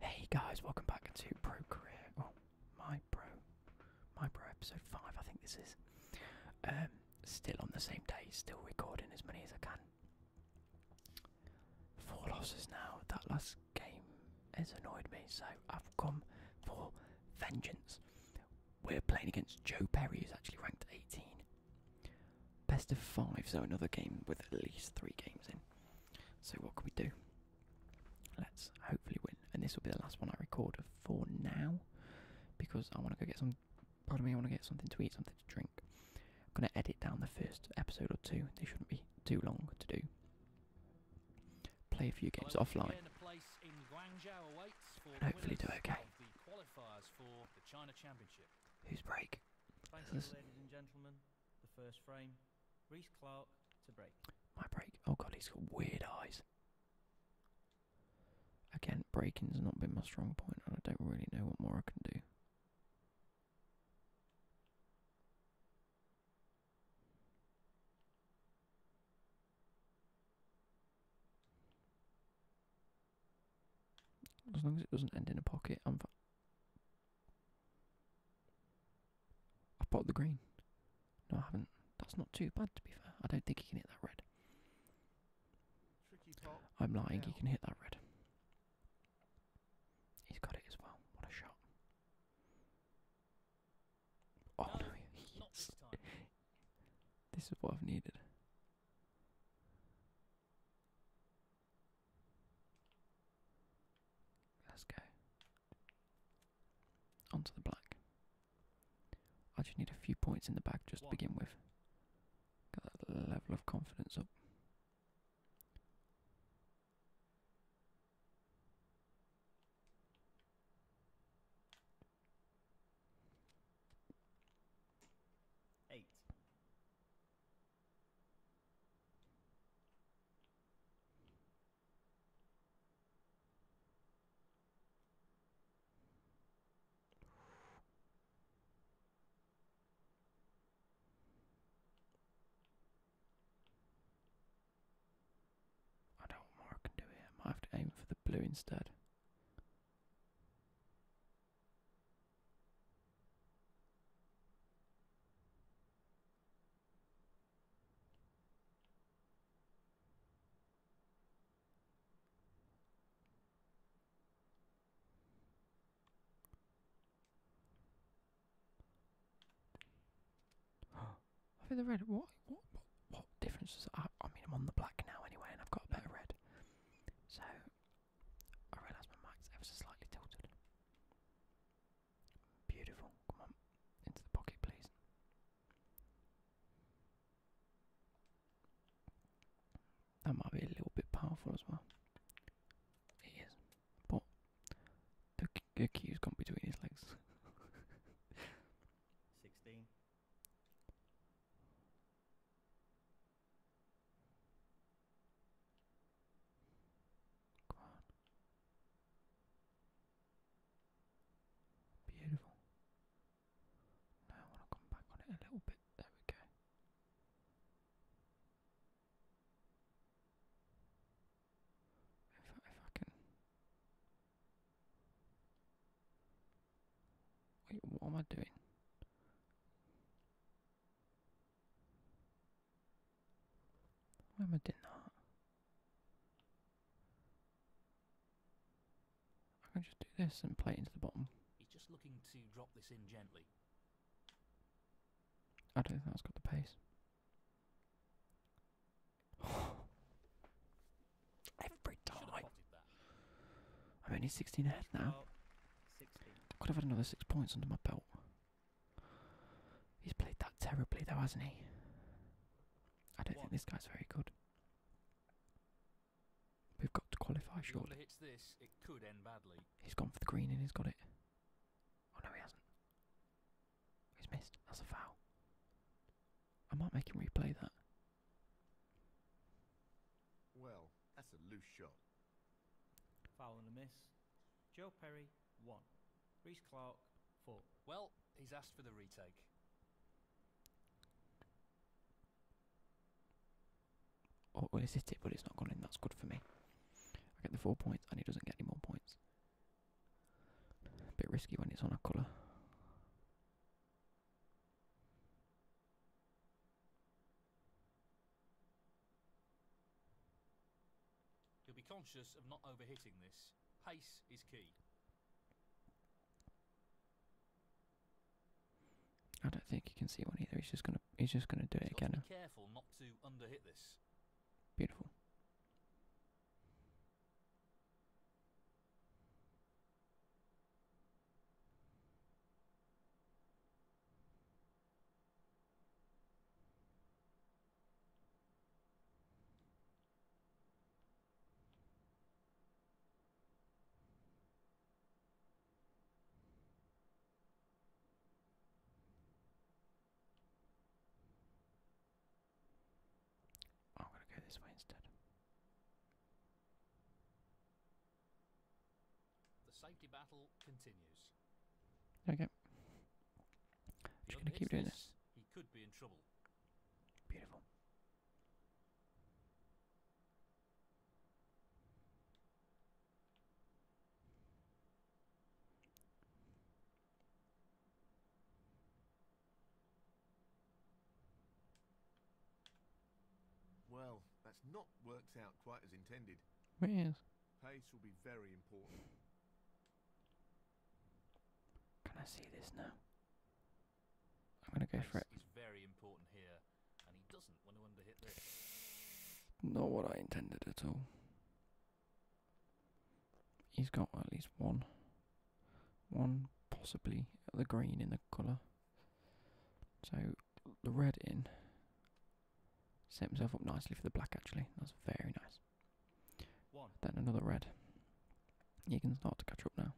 Hey guys, welcome back to Pro Career. Well, oh, my Pro, my Pro episode five. I think this is. Um, still on the same day, still recording as many as I can. Four losses now. That last game has annoyed me, so I've come for vengeance. We're playing against Joe Perry, who's actually ranked 18. Best of five, so another game with at least three games in. So what can we do? Let's hopefully win. And this will be the last one I record for now, because I want to go get some. Pardon me, I want to get something to eat, something to drink. I'm gonna edit down the first episode or two. They shouldn't be too long to do. Play a few games offline. hopefully do okay. Who's break? Reese Clark to break. My break. Oh god, he's got weird eyes. Again, breaking's not been my strong point, and I don't really know what more I can do. As long as it doesn't end in a pocket, I'm. I have bought the green. No, I haven't. That's not too bad, to be fair. I don't think he can hit that red. I'm lying. He can hit that red. He's got it as well. What a shot! Oh no! no this is what I've needed. Let's go. Onto the black. I just need a few points in the back just to begin with. Got that level of confidence up. Eight. I don't know I can do here. I have to aim for the blue instead. I think the red. What? What? What, what difference does I? I mean, I'm on the black now anyway, and I've got a better red. So I realise my mic's ever so slightly tilted. Beautiful. Come on. Into the pocket, please. That might be a little bit powerful as well. It is. But the, the has gone between his legs. 16. Come on. Beautiful. Now I want to come back on it a little bit. There we go. If I, if I can. Wait, what am I doing? Why am I doing that? I can just do this and play into the bottom. He's just looking to drop this in gently. I don't think that's got the pace. Every time. I'm only 16 ahead now. 16. I could have had another six points under my belt. He's played that terribly though, hasn't he? I don't think this guy's very good. We've got to qualify shortly. Hits this, it could end badly. He's gone for the green and he's got it. Oh no, he hasn't. He's missed. That's a foul. I might make him replay that. Well, that's a loose shot. Foul and a miss. Joe Perry, one. Reese Clark, four. Well, he's asked for the retake. Oh, well, it's hit it, but it's not gone in. That's good for me. I get the four points, and he doesn't get any more points. A bit risky when it's on a colour you will be conscious of not overhitting this. Pace is key. I don't think you can see one either. He's just gonna he's just gonna do it again. Beautiful. I'm going to go this way instead. The safety battle continues. Okay. I'm just gonna keep doing this. Beautiful. Well, that's not worked out quite as intended. It is. Pace will be very important. Can I see this now? I'm gonna go for it. he not what I intended at all. He's got at least one, one possibly at the green in the colour. So the red in set himself up nicely for the black. Actually, that's very nice. Then another red. You can start to catch up now.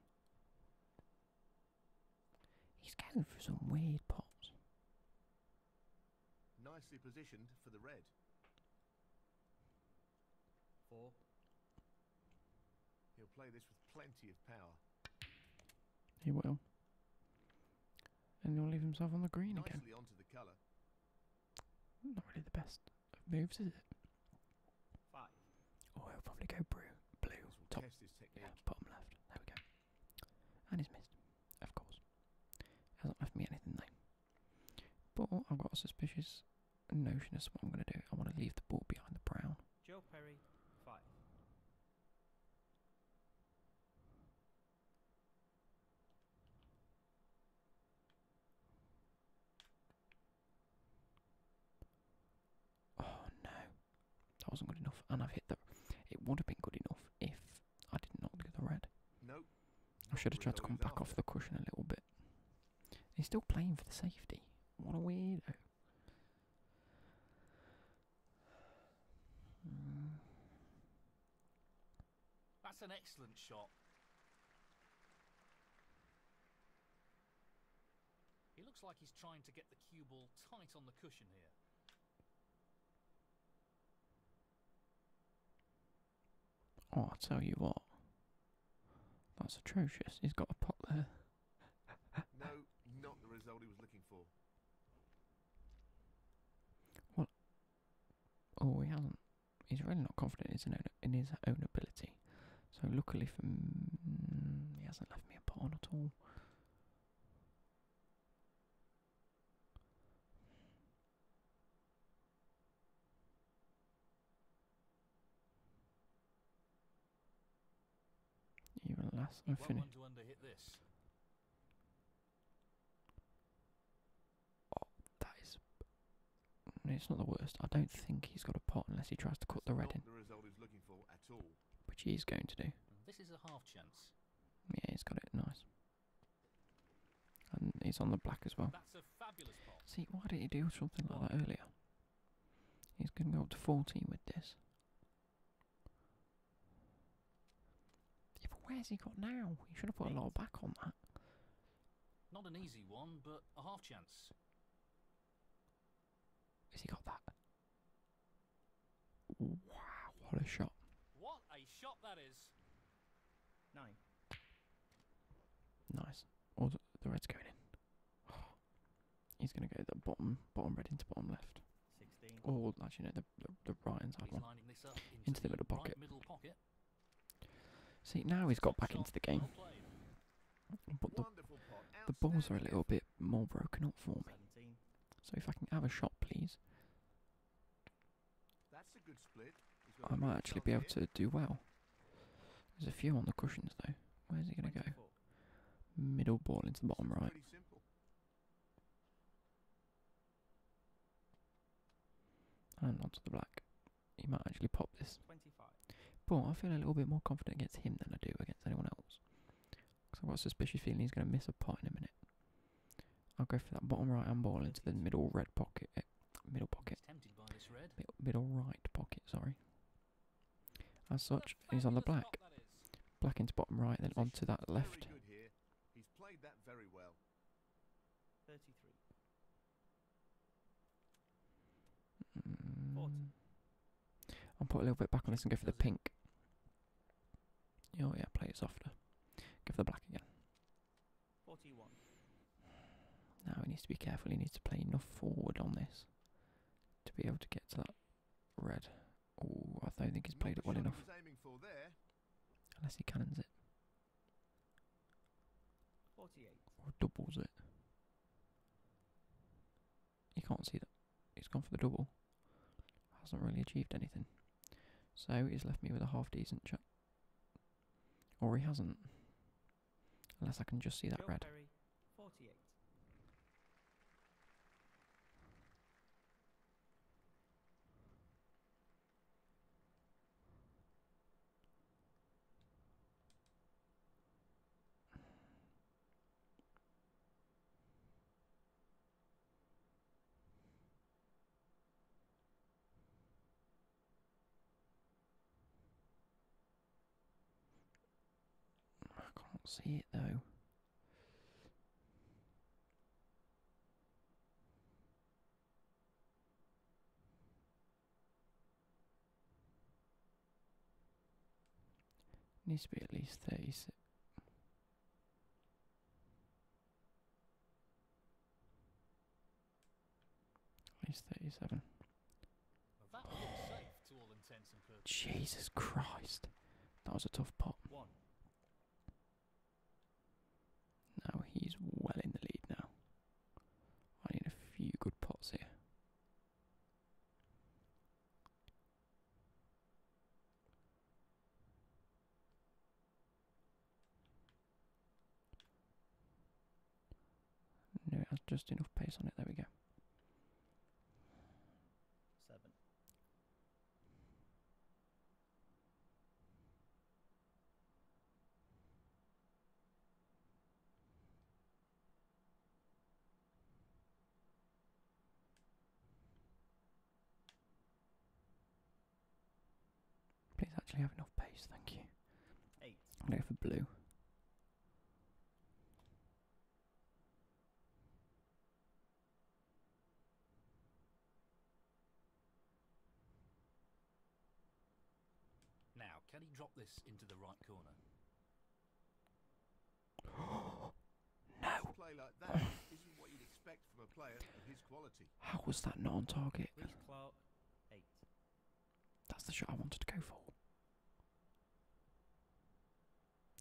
He's going for some weird pots. Nicely positioned for the red. Four. He'll play this with plenty of power. He will. And he'll leave himself on the green Nicely again. Onto the colour not really the best of moves, is it? Oh, Or he'll probably go blue, blue top, yeah, bottom left. There we go. And he's missed, of course. Hasn't left me anything though. But I've got a suspicious notion as to what I'm going to do. I want to leave the ball behind the brown. Joe Perry, five. Oh no, that wasn't good enough, and I've hit the. It would have been good enough if I did not get the red. Nope. I should have tried to come back off the cushion a little bit. He's still playing for the safety. What a weirdo. Hmm. That's an excellent shot. He looks like he's trying to get the cue ball tight on the cushion here. Oh, i tell you what. That's atrocious. He's got a pot there. no, not the result he was looking for. What? Oh, he hasn't he's really not confident in his, own, ability. So luckily for me, he hasn't left me a pawn at all. Even less, i Oh, that is. It's not the worst. I don't think he's got a pot unless he tries to cut the red in. Which he's going to do. Mm. This is a half chance. Yeah, he's got it. Nice. And he's on the black as well. See, why did he do something like that earlier? He's going to go up to 14 with this. where's he got now? He should have put a lot back on that. Not an easy one, but a half chance. Has he got that? Wow, what a shot. What a shot that is. Nine. Nice. All oh, the red's going in. he's going to go the bottom, bottom red into bottom left. 16. Oh, actually, no, the, the, right inside he's one. Into, the, the Middle pocket. See, now he's got back into the game. But the, balls are a little bit more broken up for me. So if I can have a shot, please, I might actually be able to do well. There's a few on the cushions, though. Where's he going to go? Middle ball into the bottom right. And onto the black. He might actually pop this. But I feel a little bit more confident against him than I do against anyone else. Because I've got a suspicious feeling he's going to miss a pot in a minute. I'll go for that bottom right hand ball into the middle red pocket. Eh, middle pocket. middle right pocket, sorry. As such, he's on the black. Black into bottom right, then onto that left. Mm. I'll put a little bit back on this and go for the pink. Oh yeah, play it softer. Go for the black again. Now he needs to be careful, he needs to play enough forward on this to be able to get to that red. Oh, I don't think he's played it well enough. Unless he cannons it. Or doubles it. You can't see that. He's gone for the double. Hasn't really achieved anything. So he's left me with a half decent shot. Or he hasn't. Unless I can just see that red. 48. I can't see it though. Needs to be at least 36. At least 37. Jesus Christ. That was a tough pot. Now he's well in the lead now. I need a few good pots here. No, it has just enough pace on it. There we go. Seven. Please actually have enough pace, thank you. Eight. I'm go for blue. Now, can he drop this into the right corner? no. How was that not on target? That's the shot I wanted to go for.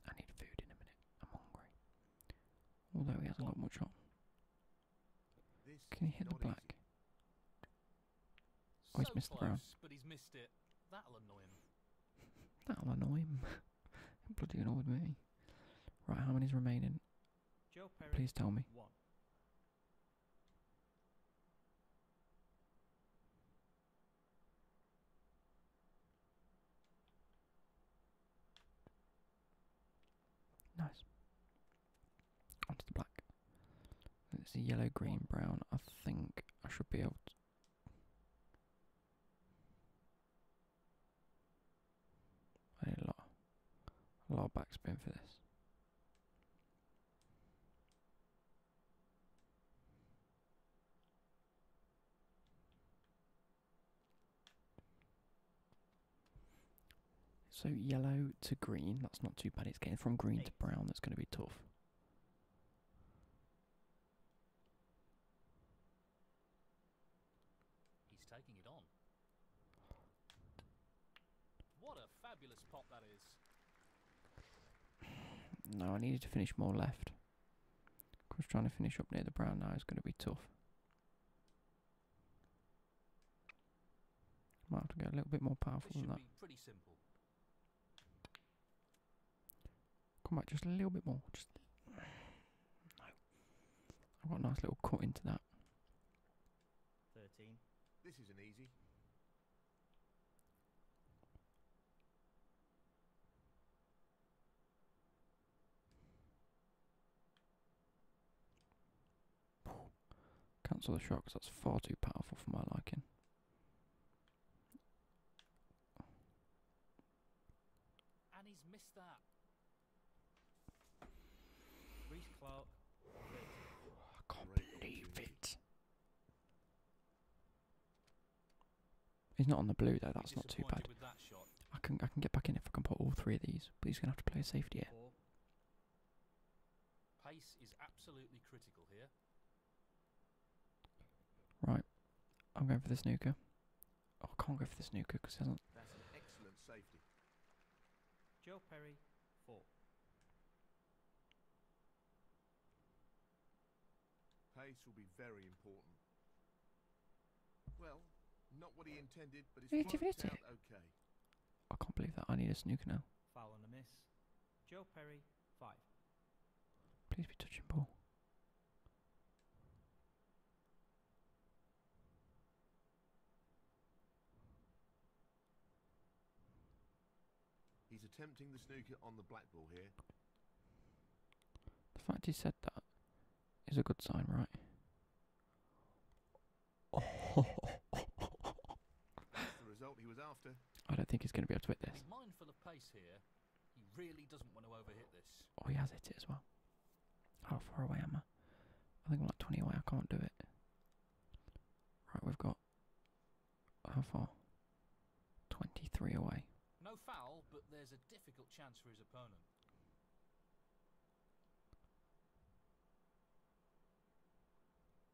I need food in a minute. I'm hungry. Although he hasn't got much on. Can he hit the black? Oh, so missed brown. That'll annoy him. Bloody annoyed me. Right, how many's remaining? Please tell me. One. Nice. Onto the black. It's a yellow, green, brown. I think I should be able to. I need a lot, a lot of backspin for this. So yellow to green, that's not too bad. It's getting from green to brown that's going to be tough. He's taking it on. What a fabulous pot that is. No, I needed to finish more left. Of trying to finish up near the brown now is going to be tough. Might have to get a little bit more powerful than that. Come back just a little bit more. Just I've got a nice little cut into that. Thirteen. This isn't easy. Cancel the shot, 'cause that's far too powerful for my liking. And he's missed that. I can't believe it. He's not on the blue though. That's not too bad. I can I can get back in if I can put all three of these. But he's gonna have to play a safety here. Pace is absolutely critical here. Right. I'm going for the snooker. Oh, I can't go for the snooker because he hasn't. That's an excellent safety. Joe Perry, four. Pace will be very important. Well, not what he intended, but it's worked out okay. I can't believe that. I need a snooker now. Foul and a miss. Joe Perry, five. Please be touching ball. He's attempting the snooker on the black ball here. The fact he said that is a good sign, right? I don't think he's going to be able to hit this. Mindful of pace here. He really doesn't want to overhit this. Oh, he has hit it as well. How far away am I? I think I'm like 20 away. I can't do it. Right, we've got how far? 23 away. No foul, but there's a difficult chance for his opponent.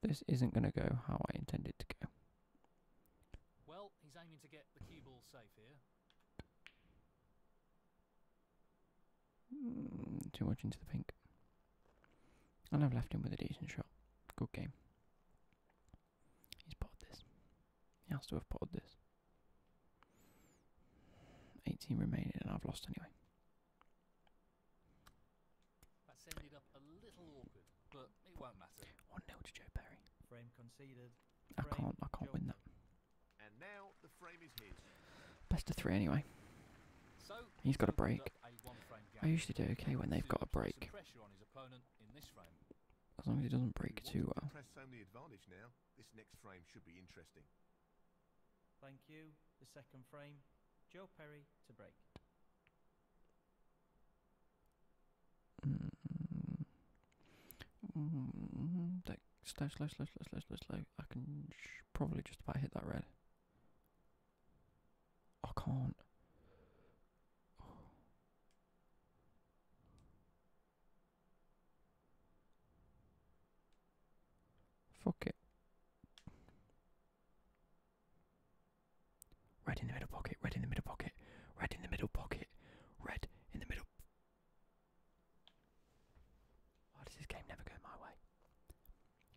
This isn't going to go how I intended to go. Well, he's aiming to get the cue ball safe here. Hmm, too much into the pink. And I've left him with a decent shot. Good game. He's potted this. He has to have potted this. 18 remaining, and I've lost anyway. That's ended up a little awkward, it won't matter. 1 0 to Joe Perry. Frame conceded. I can't, I can't win that. Best of three anyway. He's got a break. I usually do okay when they've got a break. As long as it doesn't break too well. Press home advantage now. This next frame should be interesting. Thank you. The second frame, Joe Perry to break. Mm. Mm. Like slow, slow, slow, slow, slow, slow, slow. I can probably just about hit that red. I can't. Oh. Fuck it. Red in the middle pocket, red in the middle pocket, red in the middle pocket, red in the middle. Why does this game never go my way?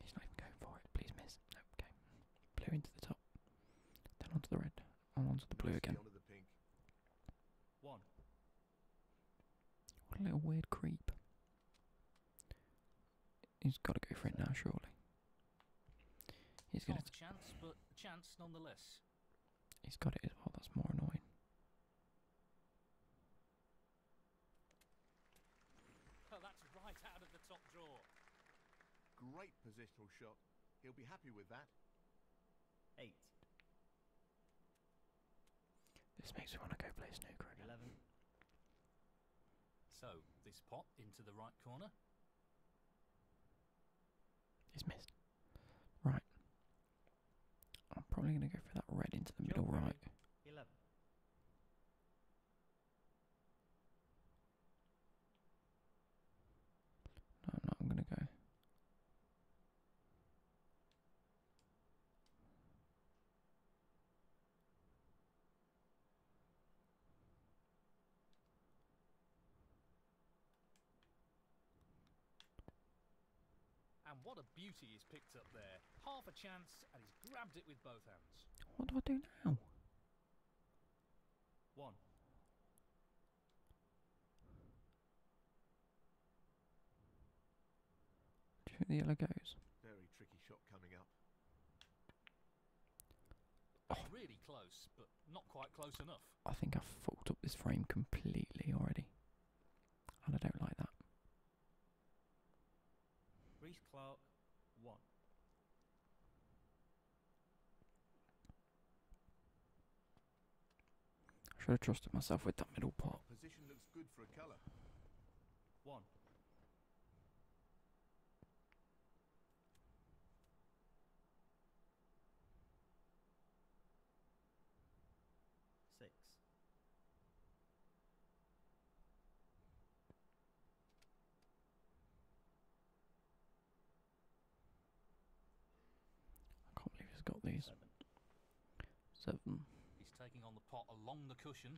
He's not even going for it. Please miss. okay. Blue into the top, then onto the red. I'm onto the blue again. One. What a little weird creep. He's got to go for it now, surely. He's going to. chance, but chance nonetheless. He's got it as well. That's more annoying. Well, oh, that's right out of the top drawer. Great positional shot. He'll be happy with that. Eight. This makes me want to go play snooker Eleven. So, this pot into the right corner. It's missed. Right. I'm probably going to go for that red into the middle right. Eleven. No, i I'm gonna go. And what a beauty he's picked up there. Half a chance, and he's grabbed it with both hands. What do I do now? One. Do you think the yellow goes? Very tricky shot coming up. Oh. Really close, but not quite close enough. I think I've fucked up this frame completely already. And I don't like that. Reese Clark, one. I should have trusted myself with that middle part? One. Six. I can't believe he's got these. Seven. He's taking on the pot along the cushion.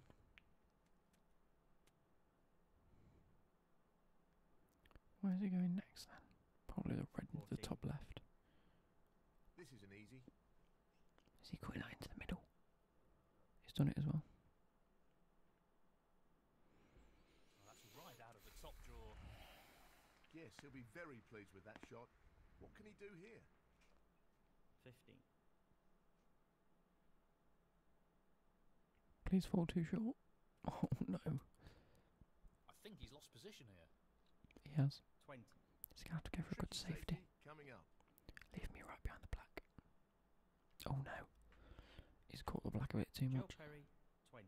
Where's he going next then? Probably the red into the top left. This is an easy. Is he queen nine to the middle? He's done it as well that's right out of the top drawer. Yes, he'll be very pleased with that shot. What can he do here? 15. Please fall too short. Oh no. I think he's lost position here. He has. 20. He's going to have to go for a good safety. Coming up. Leave me right behind the black. Oh no. He's caught the black a bit too much. 20.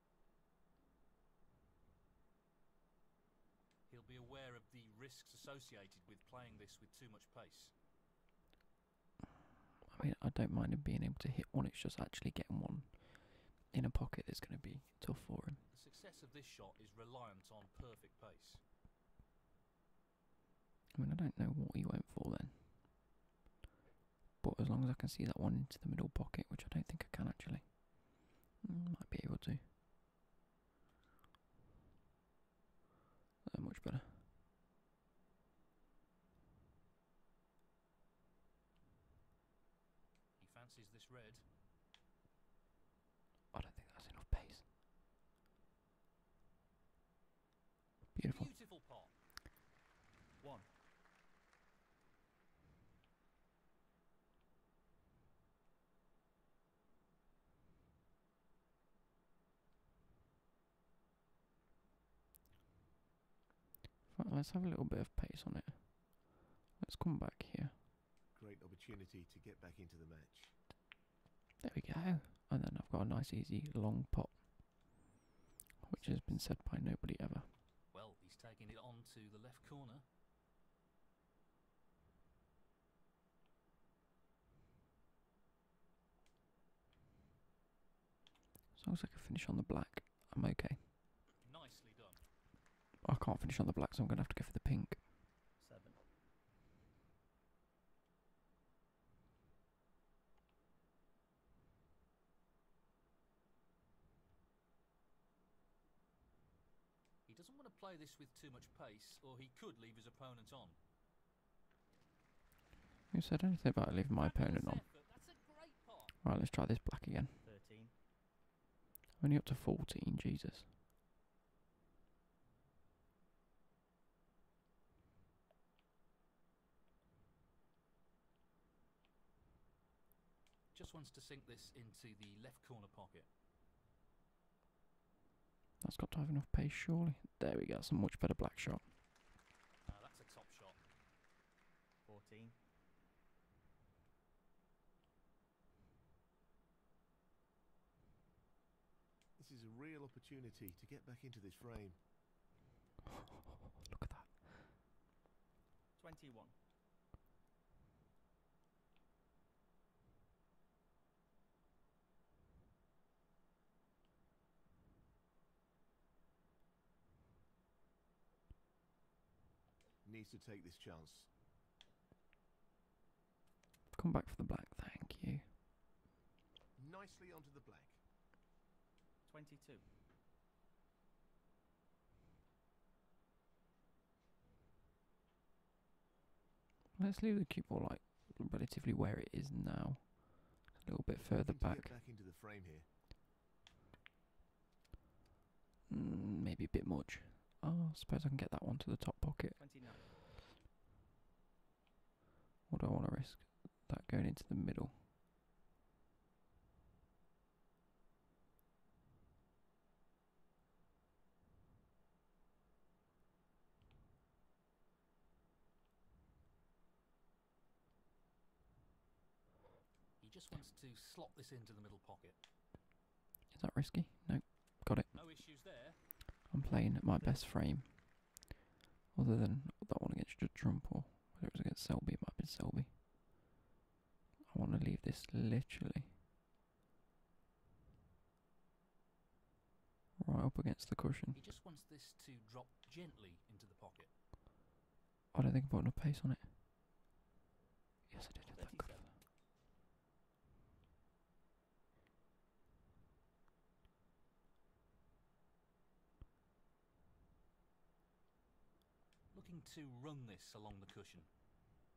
He'll be aware of the risks associated with playing this with too much pace. I mean, I don't mind him being able to hit one, it's just actually getting one in a pocket that's going to be tough for him. The success of this shot is reliant on perfect pace. I mean, I don't know what he went for then. But as long as I can see that one into the middle pocket, which I don't think I can actually, mm, might be able to. Uh, much better. He fancies this red. I don't think that's enough pace. Beautiful. Beautiful pot. One let's have a little bit of pace on it. Let's come back here. Great opportunity to get back into the match. There we go. And then I've got a nice, easy long pot, which has been said by nobody ever. Well, he's taking it on to the left corner. As long as I can finish on the black, I'm okay. I can't finish on the black, so I'm going to have to go for the pink. He doesn't want to play this with too much pace, or he could leave his opponent on. Who said anything about leaving my opponent on? Right, let's try this black again. Only up to 14, Jesus. Just wants to sink this into the left corner pocket. That's got to have enough pace, surely. There we go. That's much better black shot. Uh, that's a top shot. 14. This is a real opportunity to get back into this frame. Look at that. 21. Needs to take this chance. Come back for the black, thank you. Nicely onto the black. 22. Let's leave the cue ball like relatively where it is now. A little bit further back. Mm, maybe a bit much. Oh, I suppose I can get that one to the top pocket. 29. What do I want to risk? That going into the middle. He just wants to slot this into the middle pocket. Is that risky? No. Got it. No issues there. I'm playing at my best frame. Other than that one against Trump or whether it was against Selby, it might be Selby. I want to leave this literally Right up against the cushion. I don't think I have got enough pace on it. Yes, I did. Looking to run this along the cushion.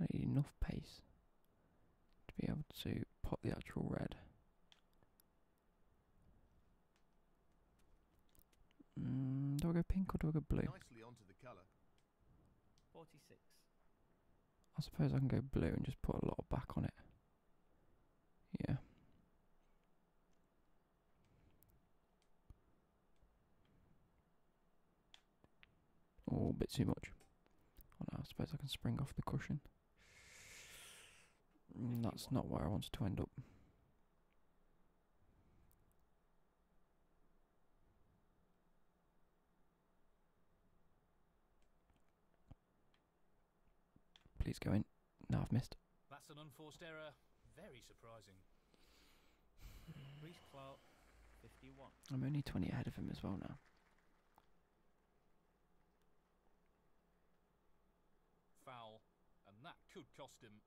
I need enough pace to be able to pop the actual red. Mm, do I go pink or do I go blue? I suppose I can go blue and just put a lot of back on it. Yeah. Oh, a bit too much. Oh, I suppose I can spring off the cushion. Mm, that's not where I wanted to end up. Please go in. No, I've missed. That's an unforced error. Very surprising. Reece Clark, 51. I'm only 20 ahead of him as well now. Foul, and that could cost him.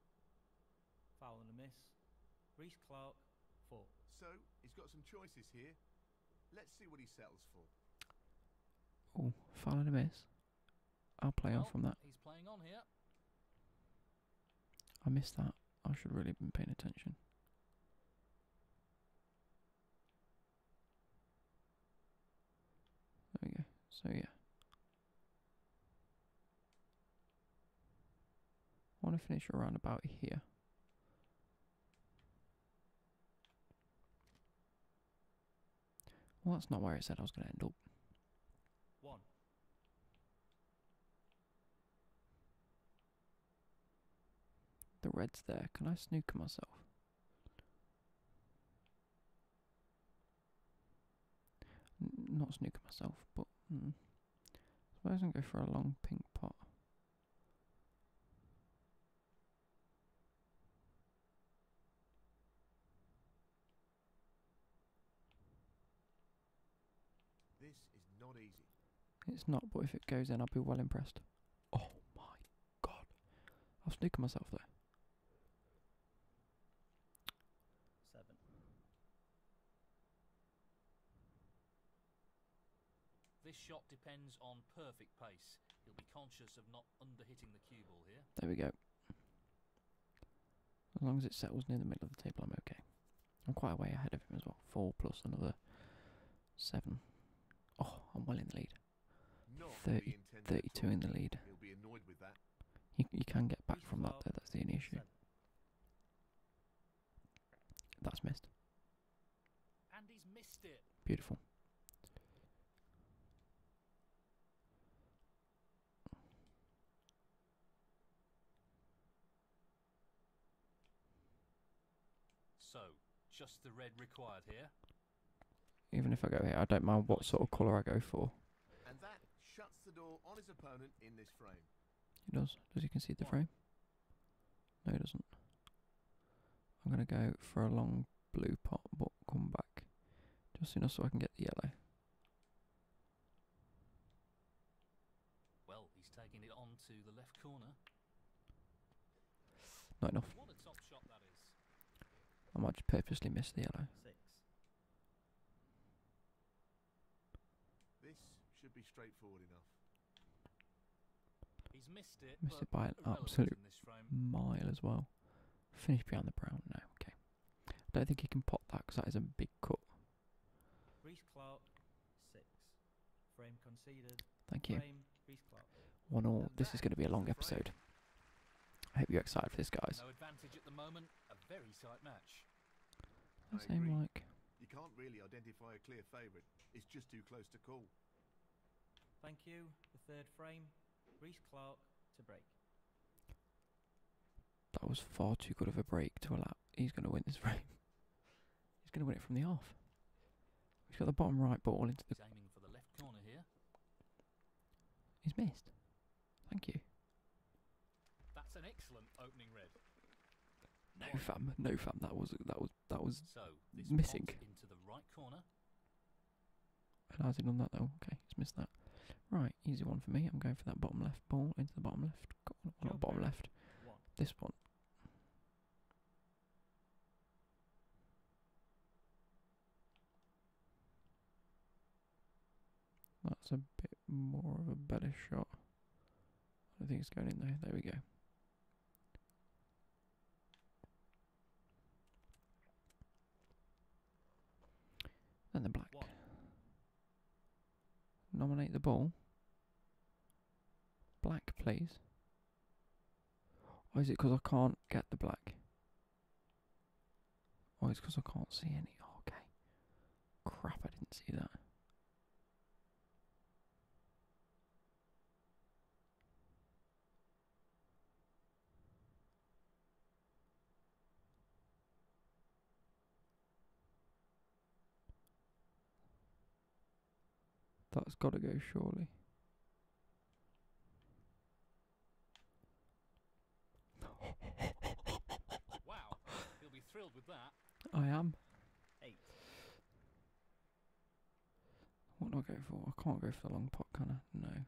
Foul and a miss. Reece Clark, four. So, he's got some choices here. Let's see what he settles for. Oh, foul and a miss. I'll play well, on from that. He's playing on here. I missed that. I should really have been paying attention. There we go. So yeah. I want to finish around about here. Well, that's not where I said I was going to end up. One. The red's there. Can I snooker myself? not snooker myself, but mm, suppose I can go for a long pink pot. It's not, but if it goes in, I'll be well impressed. Oh my god. I've snookered myself there. This shot depends on perfect pace. He'll be conscious of not underhitting the cue ball here. There we go. As long as it settles near the middle of the table, I'm okay. I'm quite a way ahead of him as well. Four plus another seven. Oh, I'm well in the lead. 30, 32 in the lead. You, you can get back from that though, that's the only issue. That's missed. Beautiful. So, just the red required here. Even if I go here, I don't mind what sort of colour I go for. And that shuts the door on He does. Does he concede the frame? No, he doesn't. I'm going to go for a long blue pot, but come back. Just enough so I can get the yellow. Well, he's taking it on to the left corner. Not enough. I might just purposely miss the yellow. Six. This should be straightforward enough. He's missed it. Missed it by an absolute mile as well. Finished behind the brown now. Okay. I don't think he can pot that because that is a big cut. Thank you. Frame, One all. this is going to be a long episode. I hope you're excited for this, guys. Same, Mike. You can't really identify a clear favourite. It's just too close to call. Thank you. The third frame. Reese Clark to break. That was far too good of a break to allow. He's going to win this frame. He's going to win it from the off. He's got the bottom right ball into the. He's aiming for the left corner here. He's missed. Thank you. That's an excellent opening red. No fam, no fam. That was that was that was missing. And I did on that though. Okay, just missed that. Right, easy one for me. I'm going for that bottom left ball into the bottom left. God, on the bottom left. This one. That's a bit more of a better shot. I think it's going in there. There we go. And the black. Nominate the ball. Black, please. Or oh, is it because I can't get the black? Oh, it's because I can't see any. Oh, okay. Crap, I didn't see that. That's got to go, surely. I am. What do I go for? I can't go for the long pot, can I? No.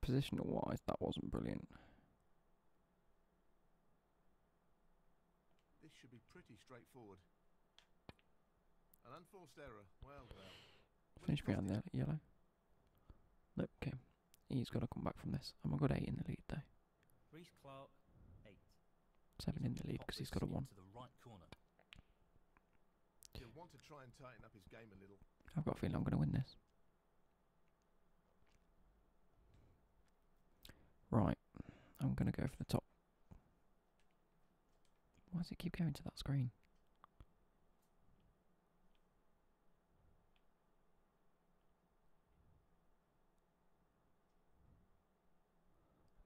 Positional wise, that wasn't brilliant. This should be pretty straightforward. An unforced error. Well, well. Finish behind the yellow. Nope, okay. He's got to come back from this. I'm a good 8 in the lead, though. 8. 7 in the lead because he's got a 1. I've got a feeling I'm going to win this. Right, I'm going to go for the top. Why does it keep going to that screen?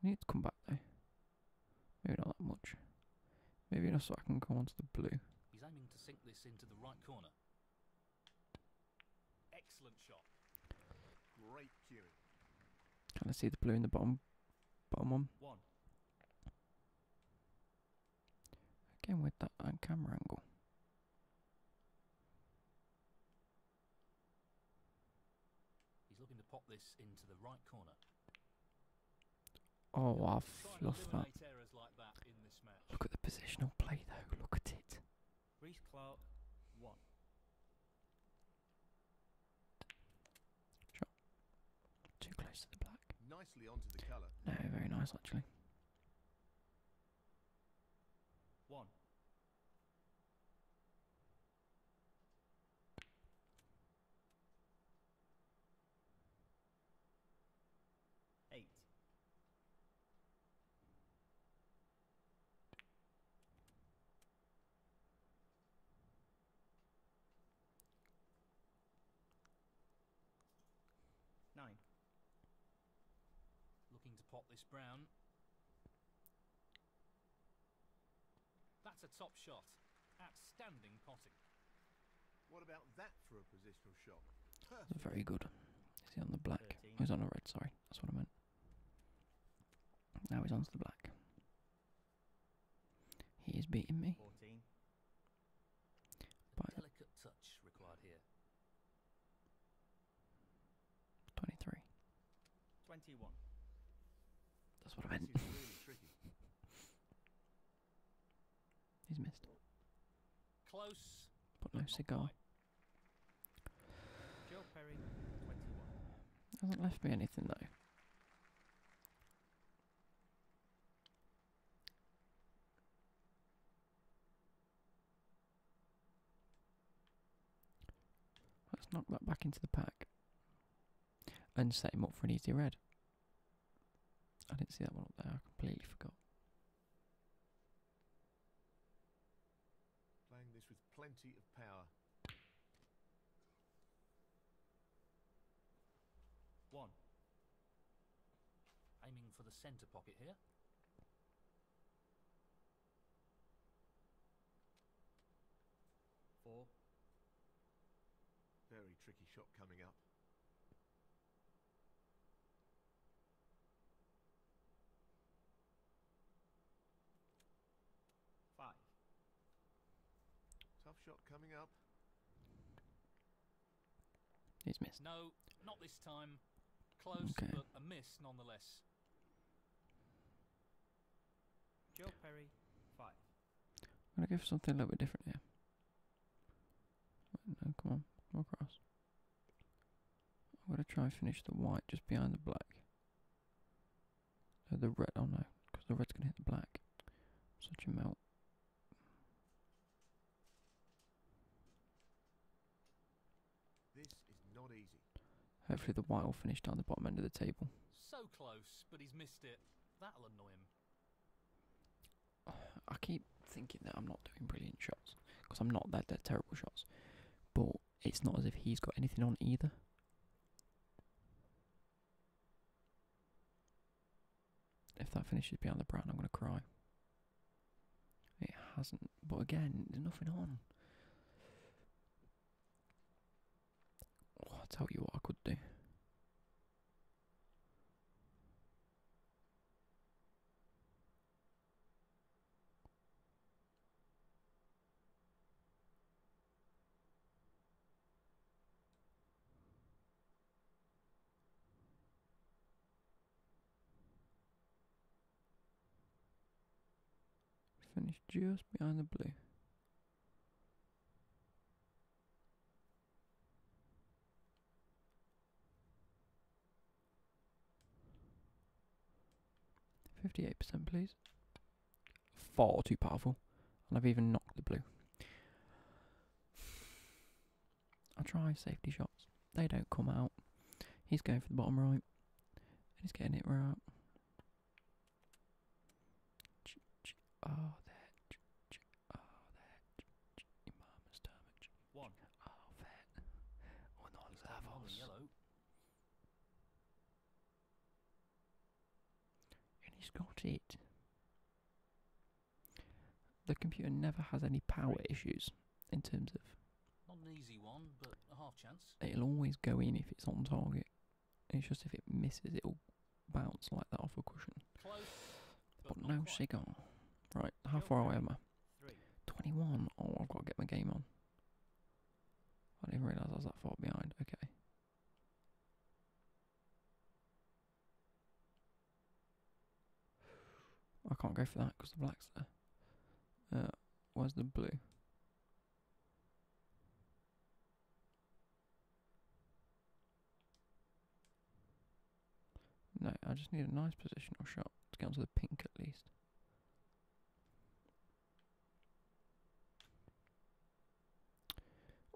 need to come back though. Maybe not that much. Maybe enough so I can go onto the blue. to the right Excellent shot. Can I see the blue in the bottom bottom one? One. Again with that uh, camera angle. He's looking to pop this into the right corner. Oh, I've lost that Look at the positional play though. Look at it. Reese Clark, one. Too close to the black. Nicely onto the colour. No, very nice actually. One. Eight. Nine. Looking to pot this brown. That's a top shot. Outstanding potting. What about that for a position? Very good. Is he on the black? Oh, he's on the red, sorry. That's what I meant. Now he's on the black. He is beating me. 23. 21. That's what I meant. he's missed. Close. Put no cigar. Joe Perry, Hasn't left me anything though. Let's knock that back into the pack and set him up for an easy red. I didn't see that one up there, I completely forgot. Playing this with plenty of power. One. Aiming for the centre pocket here. Four. Very tricky shot coming up. Five. Tough shot coming up. It's missed. No, not this time. Close, okay. but a miss nonetheless. Joe Perry, five. I'm gonna go for something a little bit different here. come on, come across. I'm going to try and finish the white just behind the black. So the red, oh no, because the red's going to hit the black. Such a melt. This is not easy. Hopefully the white will finish down the bottom end of the table. So close, but he's missed it. That'll annoy him. I keep thinking that I'm not doing brilliant shots because I'm not that, terrible shots. But it's not as if he's got anything on either. If that finishes beyond the brown, I'm going to cry. It hasn't, but again, there's nothing on. Oh, i tell you what I could do. Finished just behind the blue. 58%, please. Far too powerful. And I've even knocked the blue. I try safety shots. They don't come out. He's going for the bottom right. and He's getting it right. Oh, that. Oh, that. Your mama's damage. One. Oh, vet. Or oh, And he's got it. The computer never has any power issues in terms of. Not an easy one, but a half chance. It'll always go in if it's on target. It's just if it misses, it'll bounce like that off a cushion. Close, but, but no quite. cigar. Right, how far away am I? 21. Oh, I've got to get my game on. I didn't realise I was that far behind. Okay. I can't go for that because the black's there. Uh, where's the blue? No, I just need a nice positional shot to get onto the pink at least.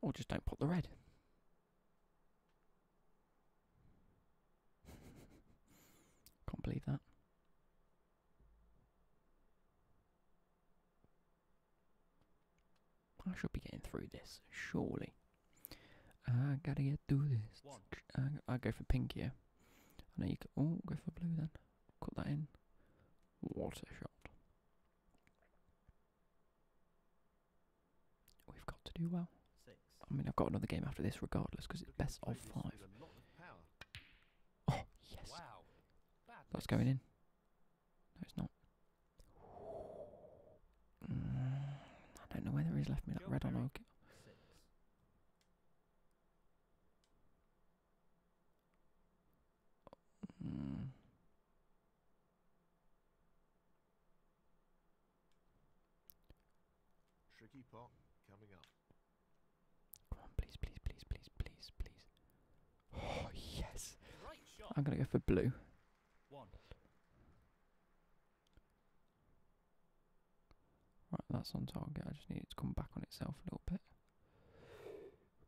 Or just don't put the red. Can't believe that. I should be getting through this, surely. I gotta get through this. I, uh, I go for pink here. I know you can. Oh, go for blue then. Cut that in. What a shot. We've got to do well. I mean, I've got another game after this regardless because it's best of five. Oh, yes. That's going in. No, it's not. Mm, I don't know whether he's left me that red or not. Tricky pot coming up. Come on, please, please, please, please, please, please. Oh yes! I'm gonna go for blue. One. Right, that's on target. I just need it to come back on itself a little bit.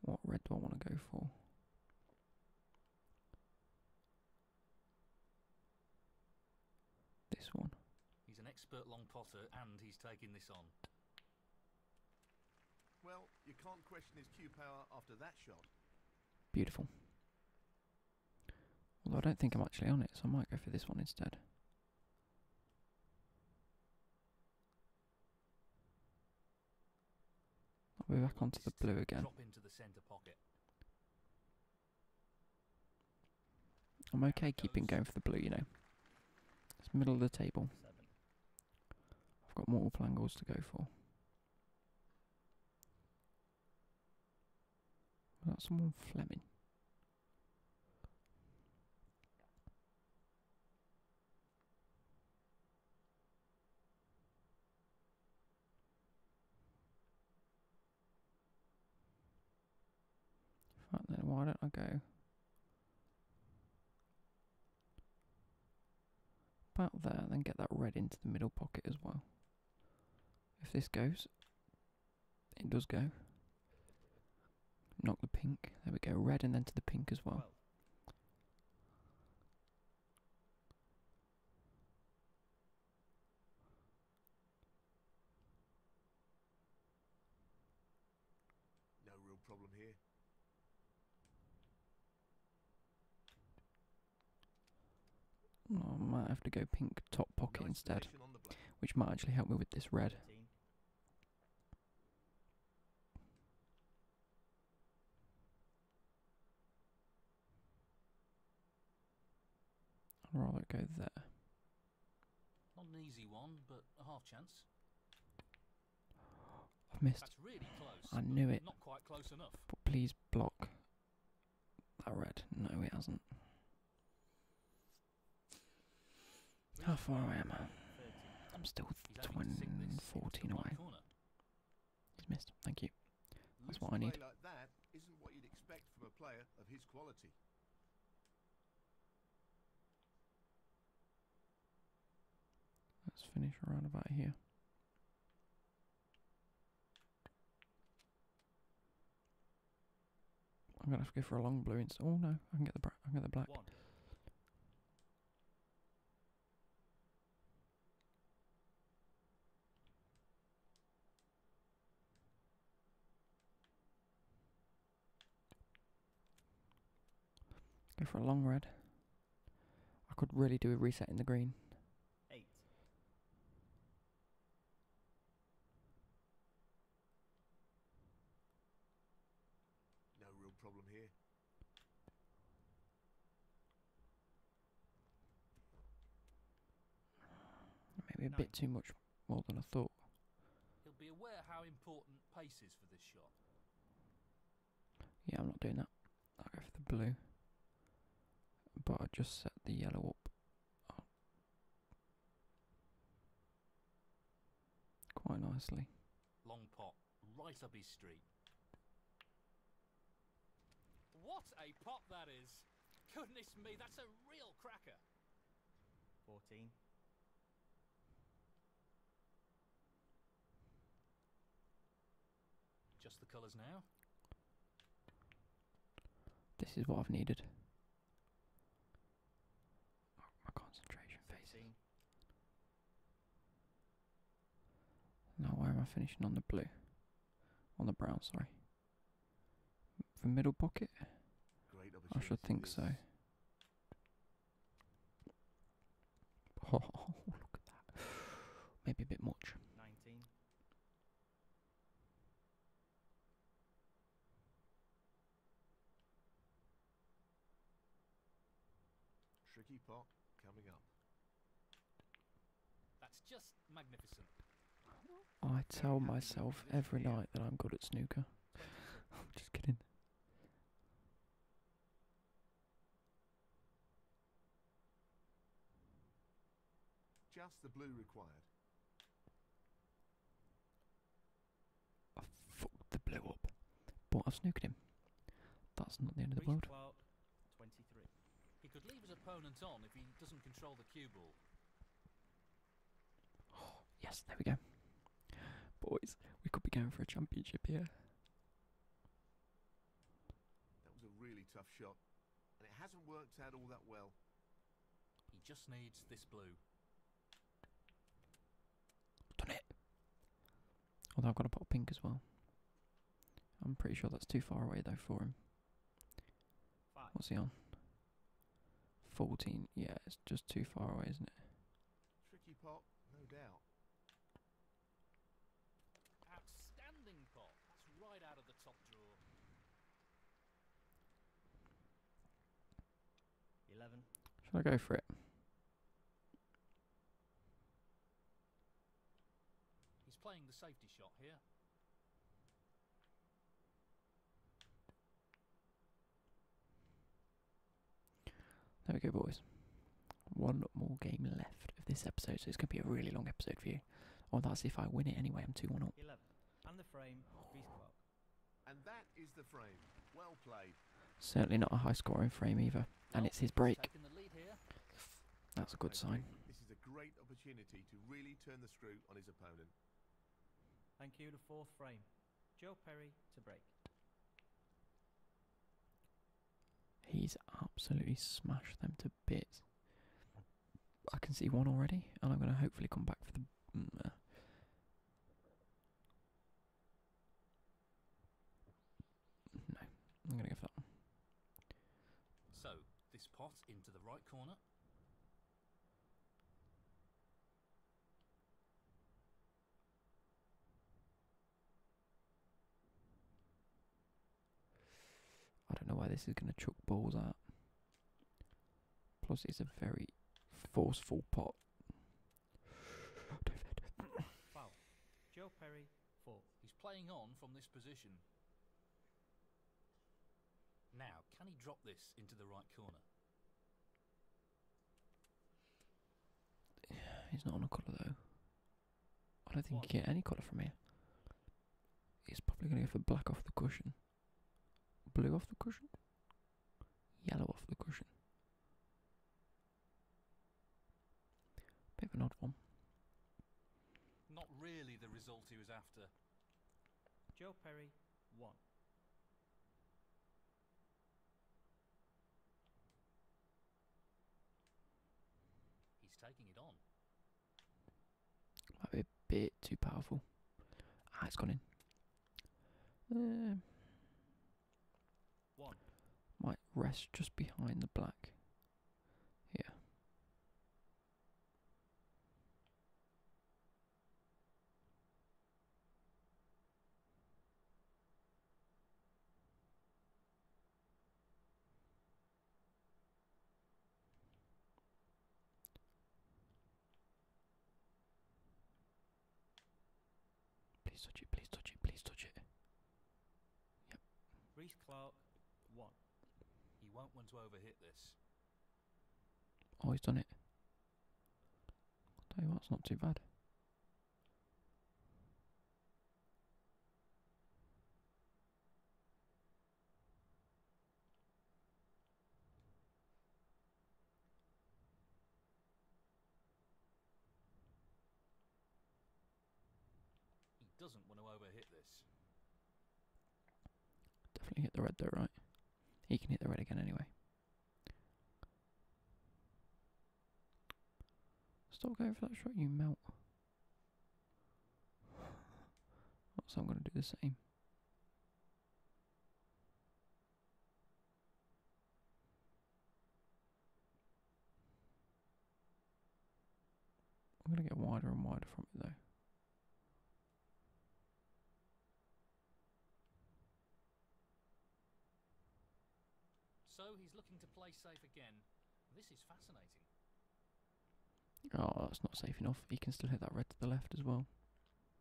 What red do I want to go for? This one. He's an expert long potter and he's taking this on. Well, you can't question his Q power after that shot. Beautiful. Although I don't think I'm actually on it, so I might go for this one instead. We're back onto the blue again. I'm okay keeping going for the blue, you know. It's middle of the table. I've got more angles to go for. That's that someone Fleming? then, why don't I go? About there, and then get that red into the middle pocket as well. If this goes, it does go. Knock the pink. There we go. Red and then to the pink as well. No real problem here. I might have to go pink top pocket instead, which might actually help me with this red. I'd rather go there. Not an easy one, but a half chance. I've missed. I knew it. Not quite close enough. But please block that red. No, it hasn't. How far am I? I'm still 20, 14 away. He's missed. Thank you. That's what I need. that isn't a player Let's finish around about here. I'm gonna have to go for a long blue instead. Oh no, I can get the I can get the black. Go for a long red. I could really do a reset in the green. Eight. No real problem here. Maybe a bit too much more than I thought. Yeah, I'm not doing that. I'll go for the blue. But I just set the yellow up. Quite nicely. Long pot, right up his street. What a pot that is! Goodness me, that's a real cracker. 14. Just the colours now. This is what I've needed my concentration facing. Now why am I finishing on the blue? On the brown, sorry. The middle pocket? I should think so. Oh, look at that. Maybe a bit much. 19. Tricky pot coming up. That's just magnificent. I tell myself every night that I'm good at snooker. I'm just kidding. Just the blue required. I fucked the blow up. But I've snooked him. That's not the end of the world. yes, there we go. Boys, we could be going for a championship here. That was a really tough shot, and it hasn't worked out all that well. He just needs this blue. Done it. Although I've got to pop pink as well. I'm pretty sure that's too far away though for him. Five. What's he on? 14. Yeah, it's just too far away, isn't it? Tricky pop, no doubt. Outstanding pop. That's right out of the top drawer. 11. Should I go for it? He's playing the safety shot here. There we go, boys. One more game left of this episode, so it's going to be a really long episode for you. Or oh, that's if I win it anyway. I'm 2 1 up. Certainly not a high scoring frame either. And it's his break. That's a good sign. This is a great opportunity to really turn the screw on his opponent. Thank you, the fourth frame. Joe Perry to break. He's absolutely smashed them to bits. I can see one already, and I'm going to hopefully come back for the. Mm, uh, no, I'm gonna go for that So, this pot into the right corner. I don't know why this is going to chuck balls out. Plus, it's a very forceful pot. David. Joe Perry, four. He's playing on from this position. Now, can he drop this into the right corner? he's not on a colour though. I don't think One. he can get any colour from here. He's probably going to go for black off the cushion. Blue off the cushion? yellow off the cushion. Bit of an odd one. Not really the result he was after. Joe Perry, one. He's taking it on. Might be a bit too powerful. Ah, it's gone in. Uh, might rest just behind the black. Here. Please touch it, please touch it, please touch it. Yep. Reese Clark, one. You won't want to overhit this. Oh, he's done it. I'll tell you what, it's not too bad. He doesn't want to overhit this. Definitely hit the red there, right? He can hit the red again anyway. Stop going for that shot, you melt. So I'm going to do the same. I'm going to get wider and wider from it though. So he's looking to play safe again. This is fascinating. Oh, that's not safe enough. He can still hit that red to the left as well.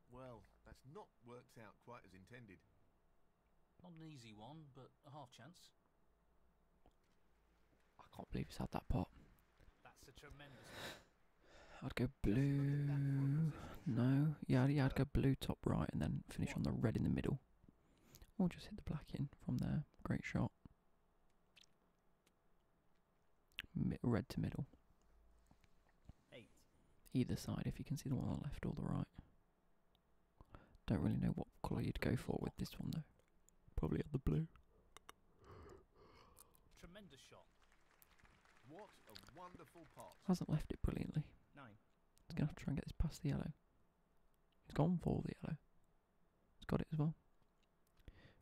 Well, that's not worked out quite as intended. Not an easy one, but a half chance. I can't believe he's had that pot. That's a tremendous. I'd go blue. No, yeah, yeah, I'd go blue top right and then finish on the red in the middle. Or just hit the black in from there. Great shot. Mid red to middle. Eight. Either side, if you can see the one on the left or the right. Don't really know what colour you'd go for with this one though. Probably on the blue. Tremendous shot. What a wonderful pot. Hasn't left it brilliantly. Nine. He's gonna have to try and get this past the yellow. He's gone for the yellow. He's got it as well.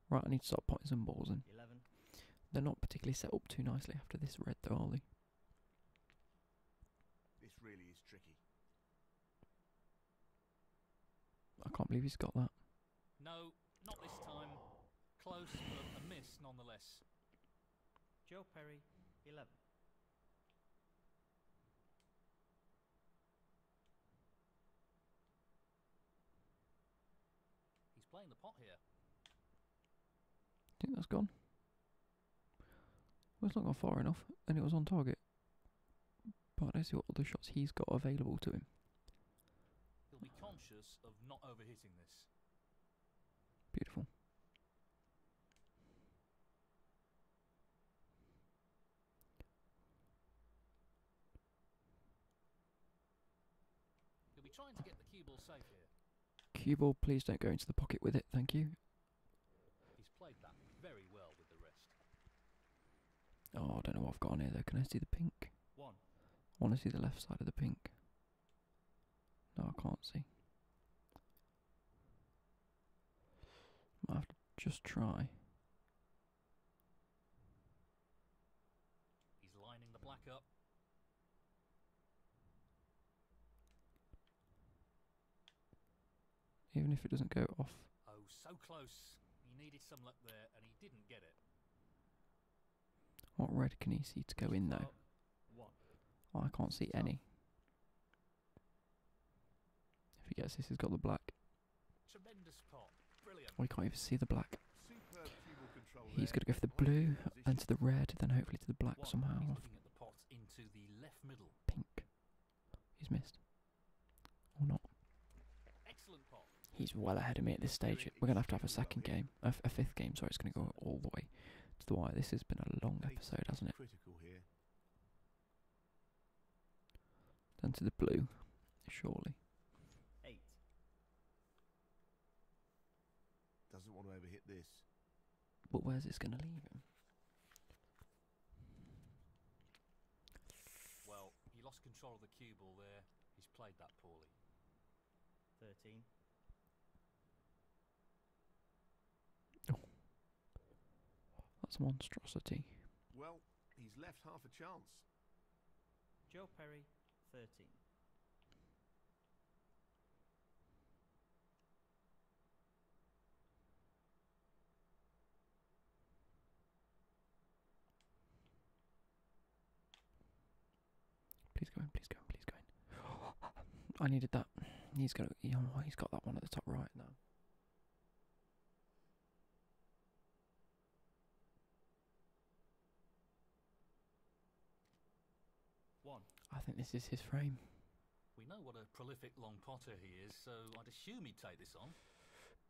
Right, I need to start putting some balls and they They're not particularly set up too nicely after this red though, are they? This really is tricky. I can't believe he's got that. No, not this time. Close, but a miss nonetheless. Joe Perry, 11. He's playing the pot here. I think that's gone. Well, it's not gone far enough, and it was on target. But let's see what other shots he's got available to him. He'll be conscious of not overhitting this. Beautiful. He'll be trying to get the cue ball safe here. Cue ball, please don't go into the pocket with it, thank you. He's played that very well with the wrist. Oh, I don't know what I've got on here though. Can I see the pink? I want to see the left side of the pink. No, I can't see. Might have to just try. He's lining the black up. Even if it doesn't go off. Oh, so close. He needed some luck there, and he didn't get it. What red can he see to go in, though? Oh, I can't see any. If he gets this, he's got the black. Tremendous pop. Brilliant. Oh, can't even see the black. He's going to go for the blue and to the red, then hopefully to the black somehow. Pink. He's missed. Or not. Excellent pop. He's well ahead of me at this stage. We're going to have to have a second game. A, fifth game, sorry. It's going to go all the way to the wire. This has been a long episode, hasn't it? Then to the blue, surely. Eight. Doesn't want to ever hit this. But where's this going to leave him? Well, he lost control of the cue ball there. He's played that poorly. 13. That's a monstrosity. Well, he's left half a chance. Joe Perry, 13. Please go in, please go in, please go in. I needed that. He's got he's got that one at the top right now. One. I think this is his frame. We know what a prolific long potter he is, so I'd assume he'd take this on.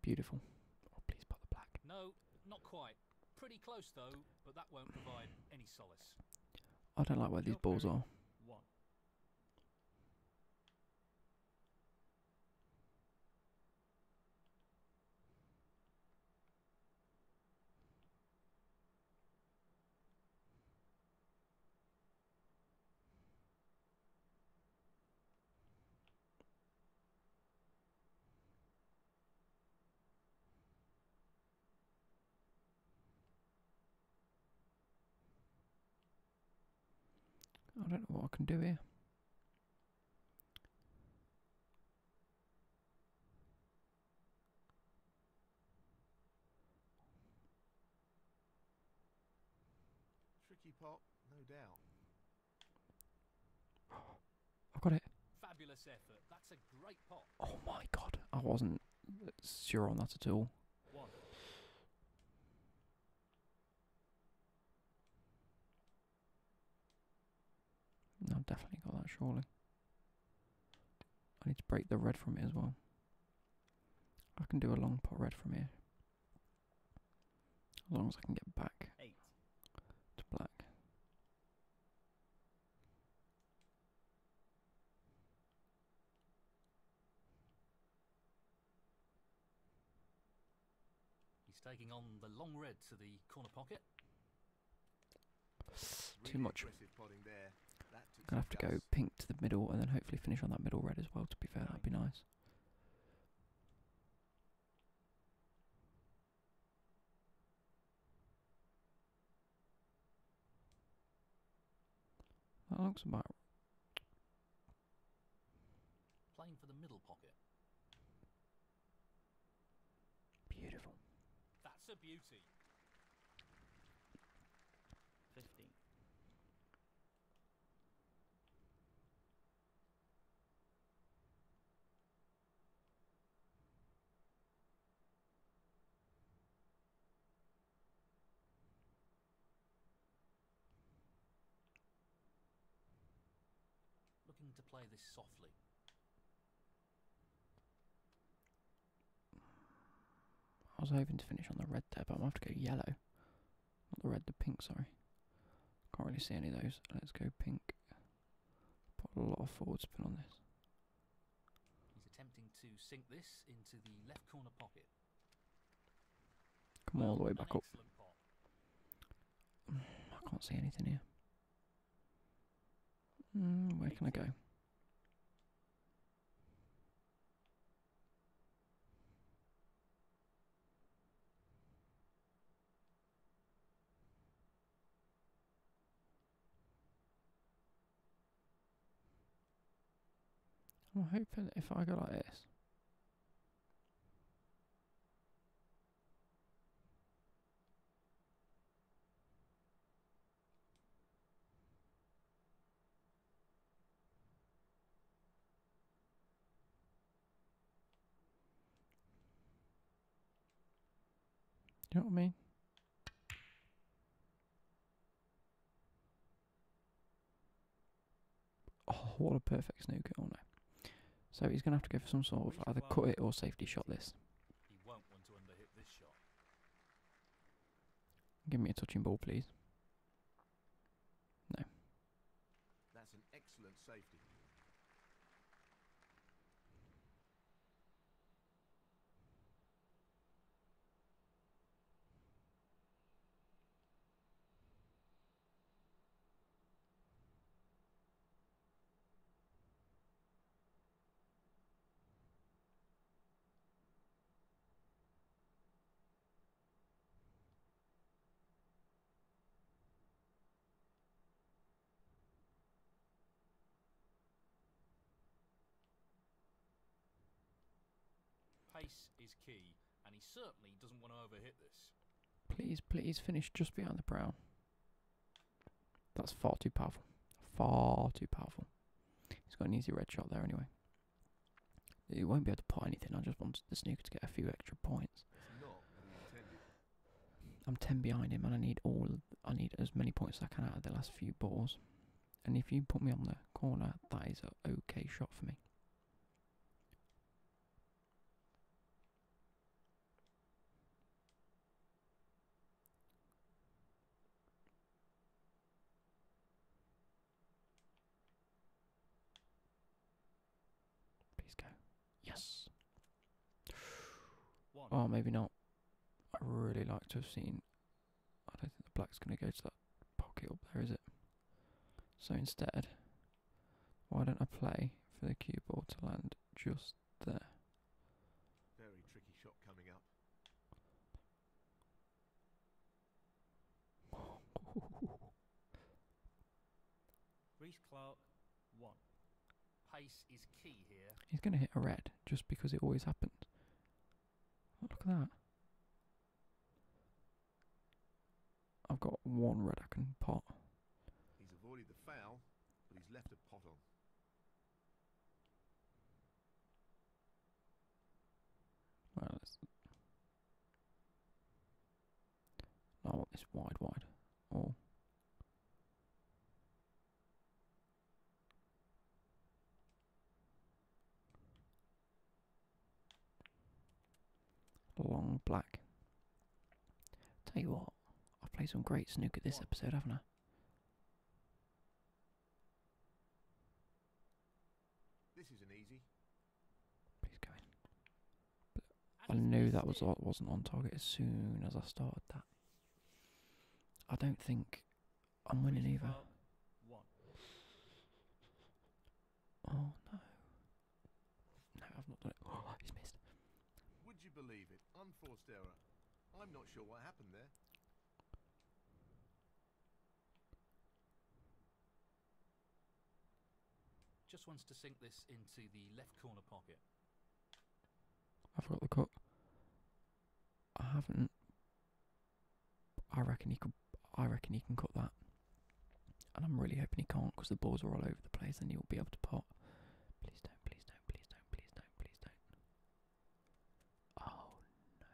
Beautiful. Oh, please put the black. No, not quite. Pretty close though, but that won't provide any solace. I don't like where these balls are. One. I don't know what I can do here. Tricky pot, no doubt. I got it. Fabulous effort. That's a great pot. Oh my god, I wasn't sure on that at all. I've definitely got that surely. I need to break the red from it as well. I can do a long pot red from here. As long as I can get back to black. He's taking on the long red to the corner pocket. Too much. I'm gonna have to go pink to the middle and then hopefully finish on that middle red as well. To be fair, that'd be nice. That looks about. Playing for the middle pocket. Beautiful. That's a beauty. 15. Looking to play this softly. I was hoping to finish on the red there, but I might have to go yellow. Not the red, the pink, sorry. Can't really see any of those. Let's go pink. Put a lot of forward spin on this. He's attempting to sink this into the left corner pocket. Come all the way back up. I can't see anything here. Hmm, where can I go? I'm hoping if I go like this. You know what I mean? Oh, what a perfect snooker, oh no. So he's going to have to go for some sort of either cut it or safety shot this. He won't want to underhit this shot. Give me a touching ball, please. No. That's an excellent safety. Pace is key, and he certainly doesn't want to overhit this. Please, please finish just behind the brown. That's far too powerful. Far too powerful. He's got an easy red shot there anyway. You won't be able to pot anything. I just wanted the snooker to get a few extra points. I'm ten behind him, and I need all. I need as many points as I can out of the last few balls. And if you put me on the corner, that is an okay shot for me. Please go. Yes. One. Oh, maybe not. I really like to have seen. I don't think the black's going to go to that pocket up there, is it? So instead, why don't I play for the cue ball to land just there? Very tricky shot coming up. Reese Clark, one. Pace is key here. He's going to hit a red just because it always happens. Oh, look at that. I've got one red I can pot. He's avoided the foul, but he's left a pot on. Well, I want this wide, wide. Or. Long black. Tell you what, I've played some great snook at this episode, haven't I? This isn't easy. He's going. But I knew that was uh, wasn't on target as soon as I started that. I don't think I'm winning either. Oh no. No, I've not done it. Oh, he's missed. Would you believe it? Unforced error. I'm not sure what happened there. Just wants to sink this into the left corner pocket. I forgot the cut. I haven't. I reckon he could. I reckon he can cut that. And I'm really hoping he can't because the balls are all over the place and he'll be able to pot. Please don't, please don't, please don't, please don't, please don't. Oh no.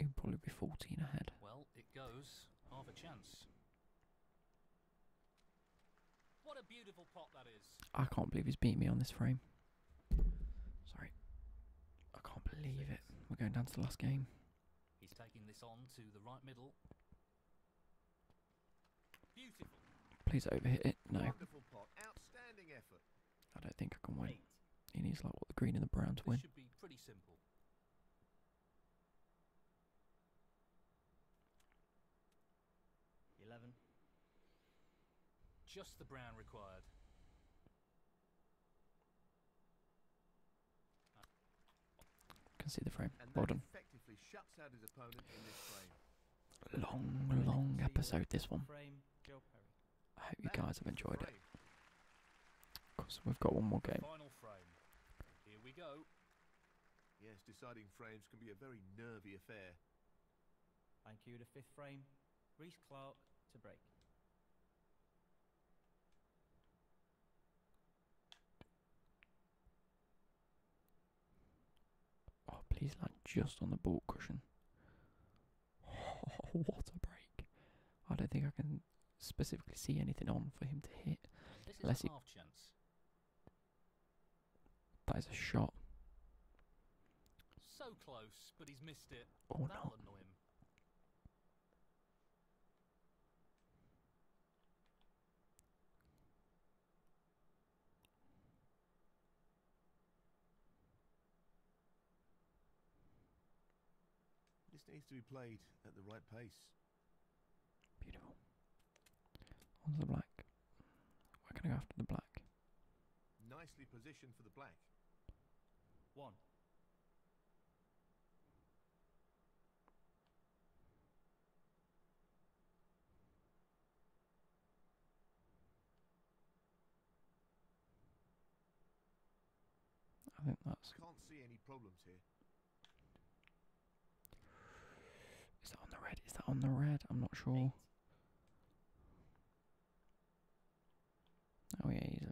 It'd probably be 14 ahead. Well, it goes. Half a chance. What a beautiful pot that is. I can't believe he's beat me on this frame. Sorry. I can't believe it. We're going down to the last game. He's taking this on to the right middle. Beautiful. Please overhit it. No. I don't think I can win. Eight. He needs like the green and the brown to win. Eleven. Just the brown required. Can see the frame. well done. Long, long episode this one. I hope you guys have enjoyed it. Of course, we've got one more game. Here we go. Yes, deciding frames can be a very nervy affair. Thank you The fifth frame. Reese Clark to break. Oh, please land just on the ball cushion. what a break. I don't think I can specifically see anything on for him to hit. This is unless a half chance. That is a shot. So close, but he's missed it. Oh, no. This needs to be played at the right pace. Beautiful. On the black. We're going to go after the black. Nicely positioned for the black. One. I think that's. Can't see any problems here. Is that on the red? Is that on the red? I'm not sure. Oh yeah, easily.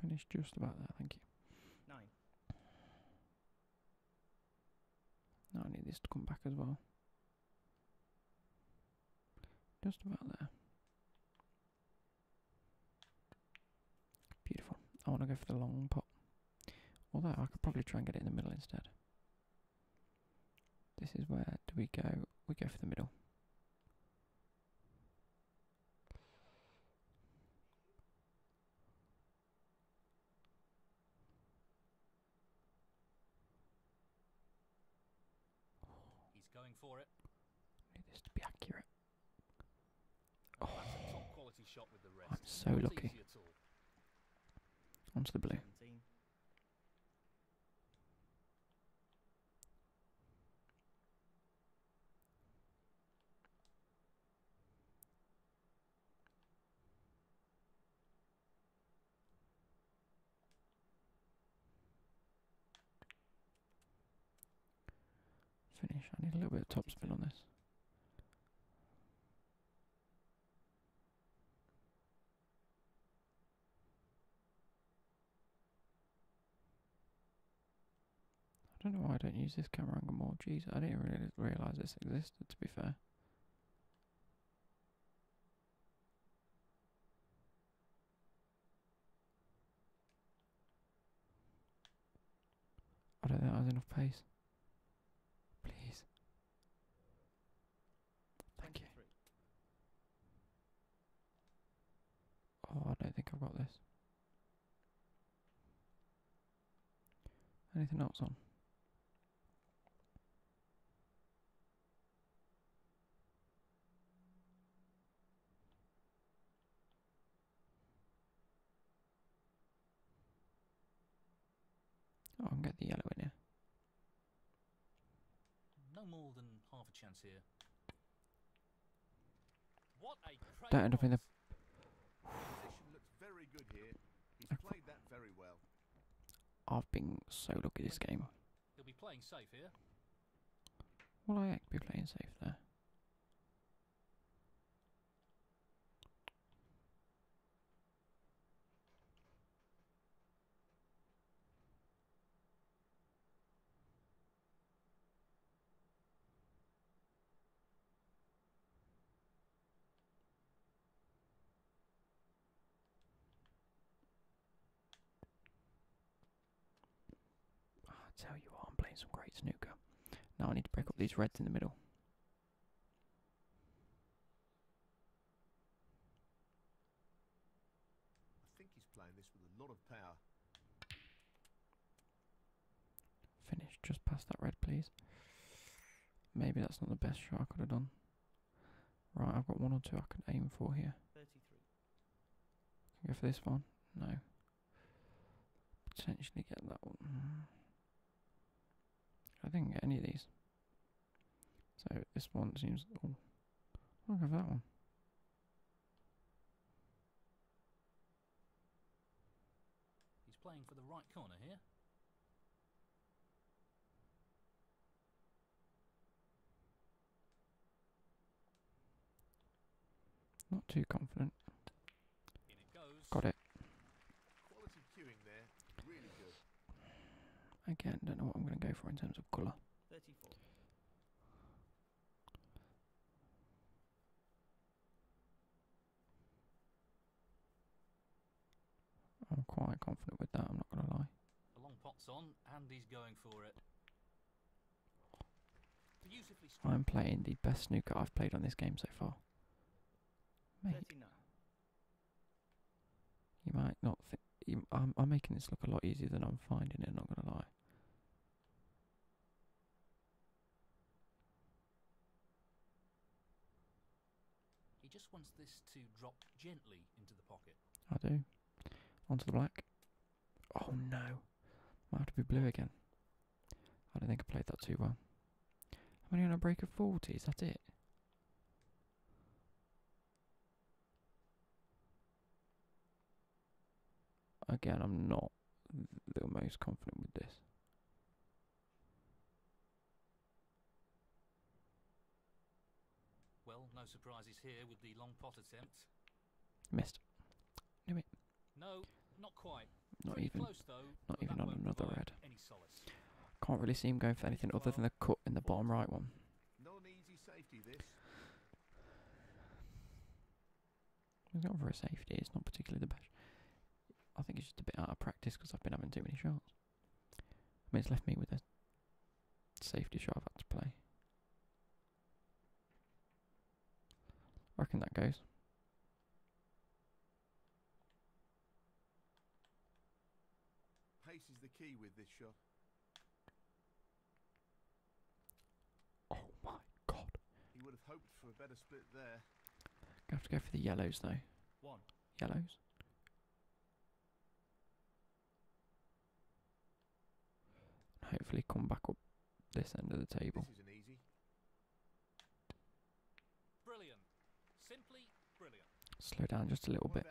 Finished just about there, thank you. Nine. Now I need this to come back as well. Just about there. Beautiful. I want to go for the long pot. Although I could probably try and get it in the middle instead. This is where do we go? We go for the middle. He's going for it. I need this to be accurate. Oh. Oh. I'm so lucky. Onto the blue. Finish. I need a little bit of topspin on this. I don't know why I don't use this camera anymore. more. Jeez, I didn't really realise this existed, to be fair. I don't think I have enough pace. Please. Thank you. Oh, I don't think I've got this. Anything else on? Oh, i can get the yellow in here. No more than half a chance here. What a Don't end up in the. well. I've been so lucky this game. He'll be playing safe here. Will I be playing safe there? I tell you what, I'm playing some great snooker. Now I need to break up these reds in the middle. I think he's playing this with a lot of power. Finish just past that red, please. Maybe that's not the best shot I could have done. Right, I've got one or two I can aim for here. Can go for this one? No. Potentially get that one. I didn't get any of these. So this one seems. Oh, look at that one. He's playing for the right corner here. Not too confident. Got it. Again, don't know what I'm going to go for in terms of colour. I'm quite confident with that, I'm not going to lie. The long pot's on, Andy's going for it. I'm playing the best snooker I've played on this game so far. You might not think. I'm, making this look a lot easier than I'm finding it, not gonna lie. He just wants this to drop gently into the pocket. I do. Onto the black. Oh no. Might have to be blue again. I don't think I played that too well. I'm only on a break of 40, is that it? Again, I'm not the most confident with this. Well, no surprises here with the long pot attempt. Missed. Knew it. No, not quite. Not even. not even on another red. Can't really see him going for anything other than cut in the bottom right one. Safety, for a safety. It's not particularly the best. I think it's just a bit out of practice because I've been having too many shots. I mean, it's left me with a safety shot I've had to play. I reckon that goes. Pace is the key with this shot. Oh my god. He would have hoped for a better split there. to have to go for the yellows though. One. Yellows. hopefully come back up this end of the table. Brilliant. Simply Slow down just a little bit.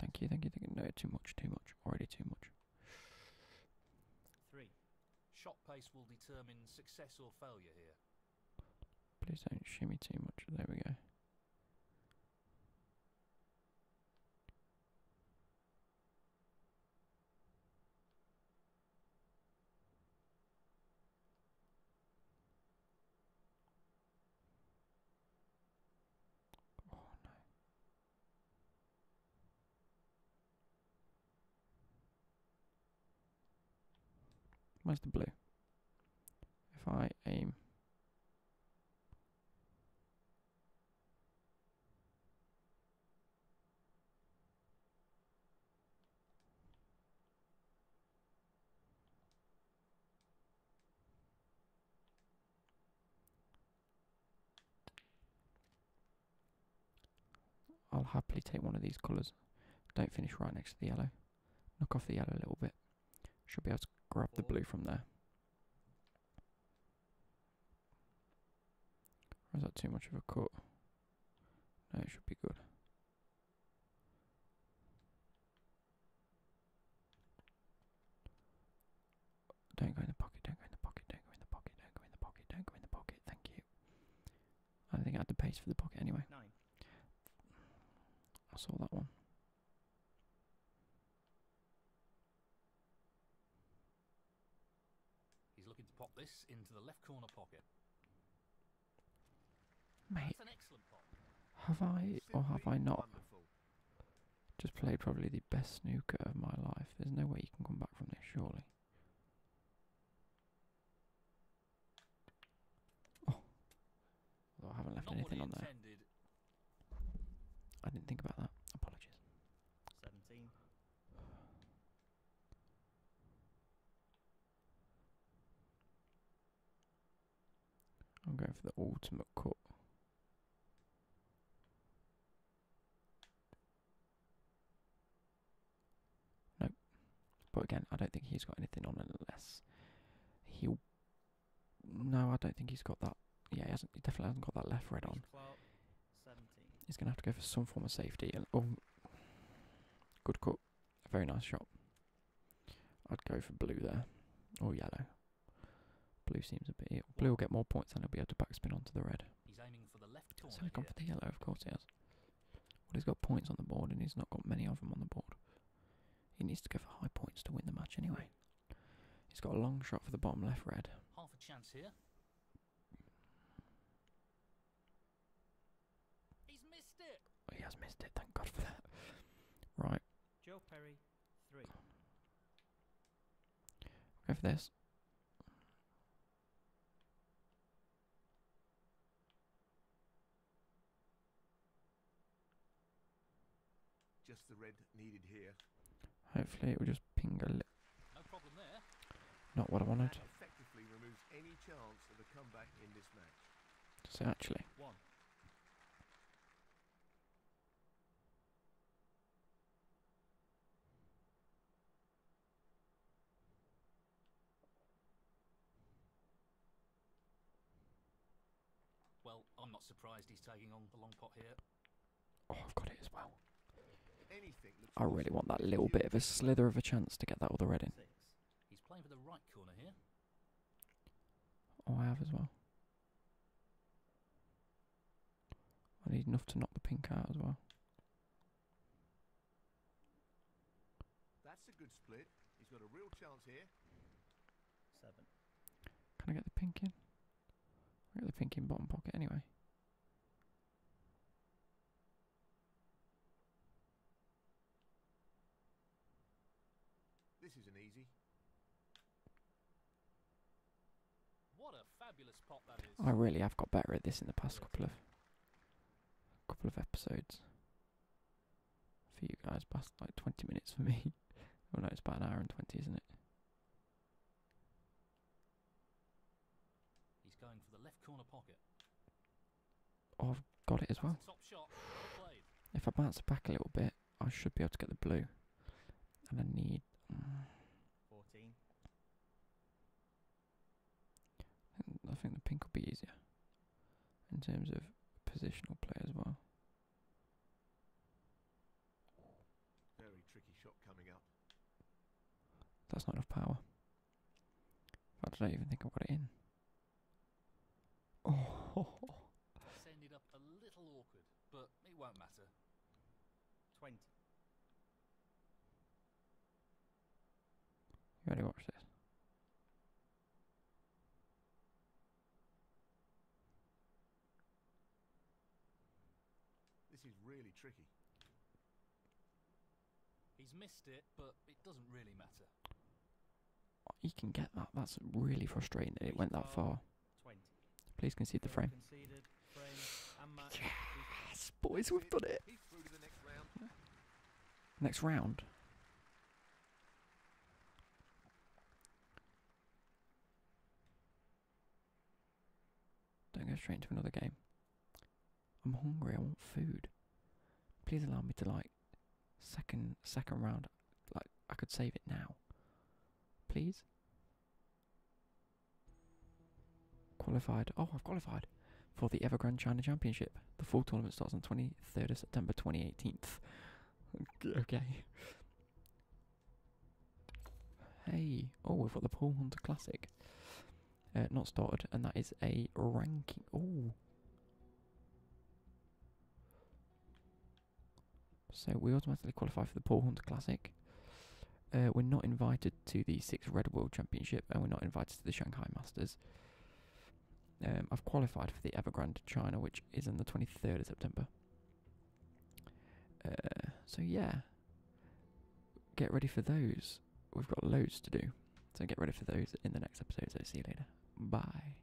thank you, thank you, thank you. No, too much, too much. Already too much. Three. Shot pace will determine success or failure here. Please don't shimmy too much. There we go. Where's the blue? If I aim. I'll happily take one of these colours. Don't finish right next to the yellow. Knock off the yellow a little bit. Should be able to grab the blue from there. Is that too much of a cut? No, it should be good. Don't go in the pocket, don't go in the pocket, don't go in the pocket, don't go in the pocket, don't go in the pocket, thank you. I think I had to pace for the pocket anyway. Nine. I saw that one. He's looking to pop this into the left corner pocket. Mate, have I or have I not just played probably the best snooker of my life? There's no way you can come back from this, surely. Oh, I haven't left anything on there. I didn't think about that. Apologies. 17. I'm going for the ultimate cut. Nope. But again, I don't think he's got anything on unless he'll. No, I don't think he's got that. Yeah, he hasn't. He definitely hasn't got that left red on. He's gonna have to go for some form of safety. oh, good cut. very nice shot. I'd go for blue there, or yellow. Blue seems a bit Blue will get more points and he'll be able to backspin onto the red. He's aiming for the left So he's gone for the yellow, of course he has. But he's got points on the board and he's not got many of them on the board. He needs to go for high points to win the match anyway. He's got a long shot for the bottom left red. Half a chance here. He's missed it. He has missed it, thank God for that. right, Joe Perry, three. Go for this. Just the red needed here. Hopefully it will just ping a little. No problem there. Not what I wanted. That actually. Well, I'm not surprised he's taking on the long pot here. Oh, I've got it as well. I really want that little bit of a slither of a chance to get that other red in. Oh, I have as well. I need enough to knock the pink out as well. That's a good split. He's got a real chance here. Seven. Can I get the pink in? I get the pink in bottom pocket anyway. This isn't easy. I really have got better at this in the past couple of couple of episodes. For you guys, past like 20 minutes for me. oh no, it's about an hour and 20, isn't it? He's going for the left corner pocket. Oh, I've got it as well. If I bounce back a little bit, I should be able to get the blue. And I need. 14. I think the pink will be easier in terms of positional play as well. Very tricky shot coming up. That's not enough power. I don't even think I've got it in. Oh. ended up a little awkward, but it won't matter. 20. You ready watch this? This is really tricky. He's missed it, but it doesn't really matter. You can get that. That's really frustrating that it went that far. Please concede the frame. Yes, boys, we've got it. Next round. Don't go straight into another game. I'm hungry, I want food. Please allow me to like second second round. Like I could save it now. Please. Qualified. Oh, I've qualified for the Evergrande China Championship. The full tournament starts on 23rd of September 2018. okay. Hey. Oh, we've got the Pool Hunter Classic. Uh, not started, and that is a ranking. Oh. So we automatically qualify for the Paul Hunter Classic. Uh, we're not invited to the Six Red World Championship and we're not invited to the Shanghai Masters. Um, I've qualified for the Evergrande China, which is on the 23rd of September. Uh, so yeah, get ready for those. We've got loads to do. So get ready for those in the next episodes. I'll see you later. Bye.